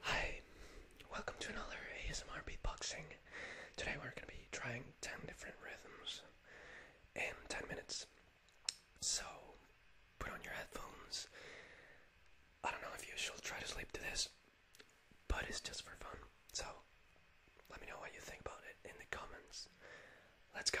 Hi, welcome to another ASMR beatboxing. Today we're going to be trying 10 different rhythms in 10 minutes. So, put on your headphones. I don't know if you should try to sleep to this, but it's just for fun. So, let me know what you think about it in the comments. Let's go.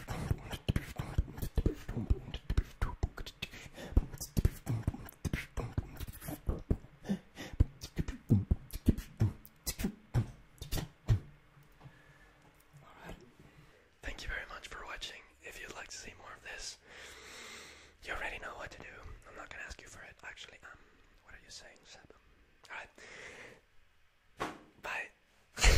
Alright. Thank you very much for watching. If you'd like to see more of this, you already know what to do. I'm not gonna ask you for it. Actually, um, what are you saying, Seb? Alright. Bye.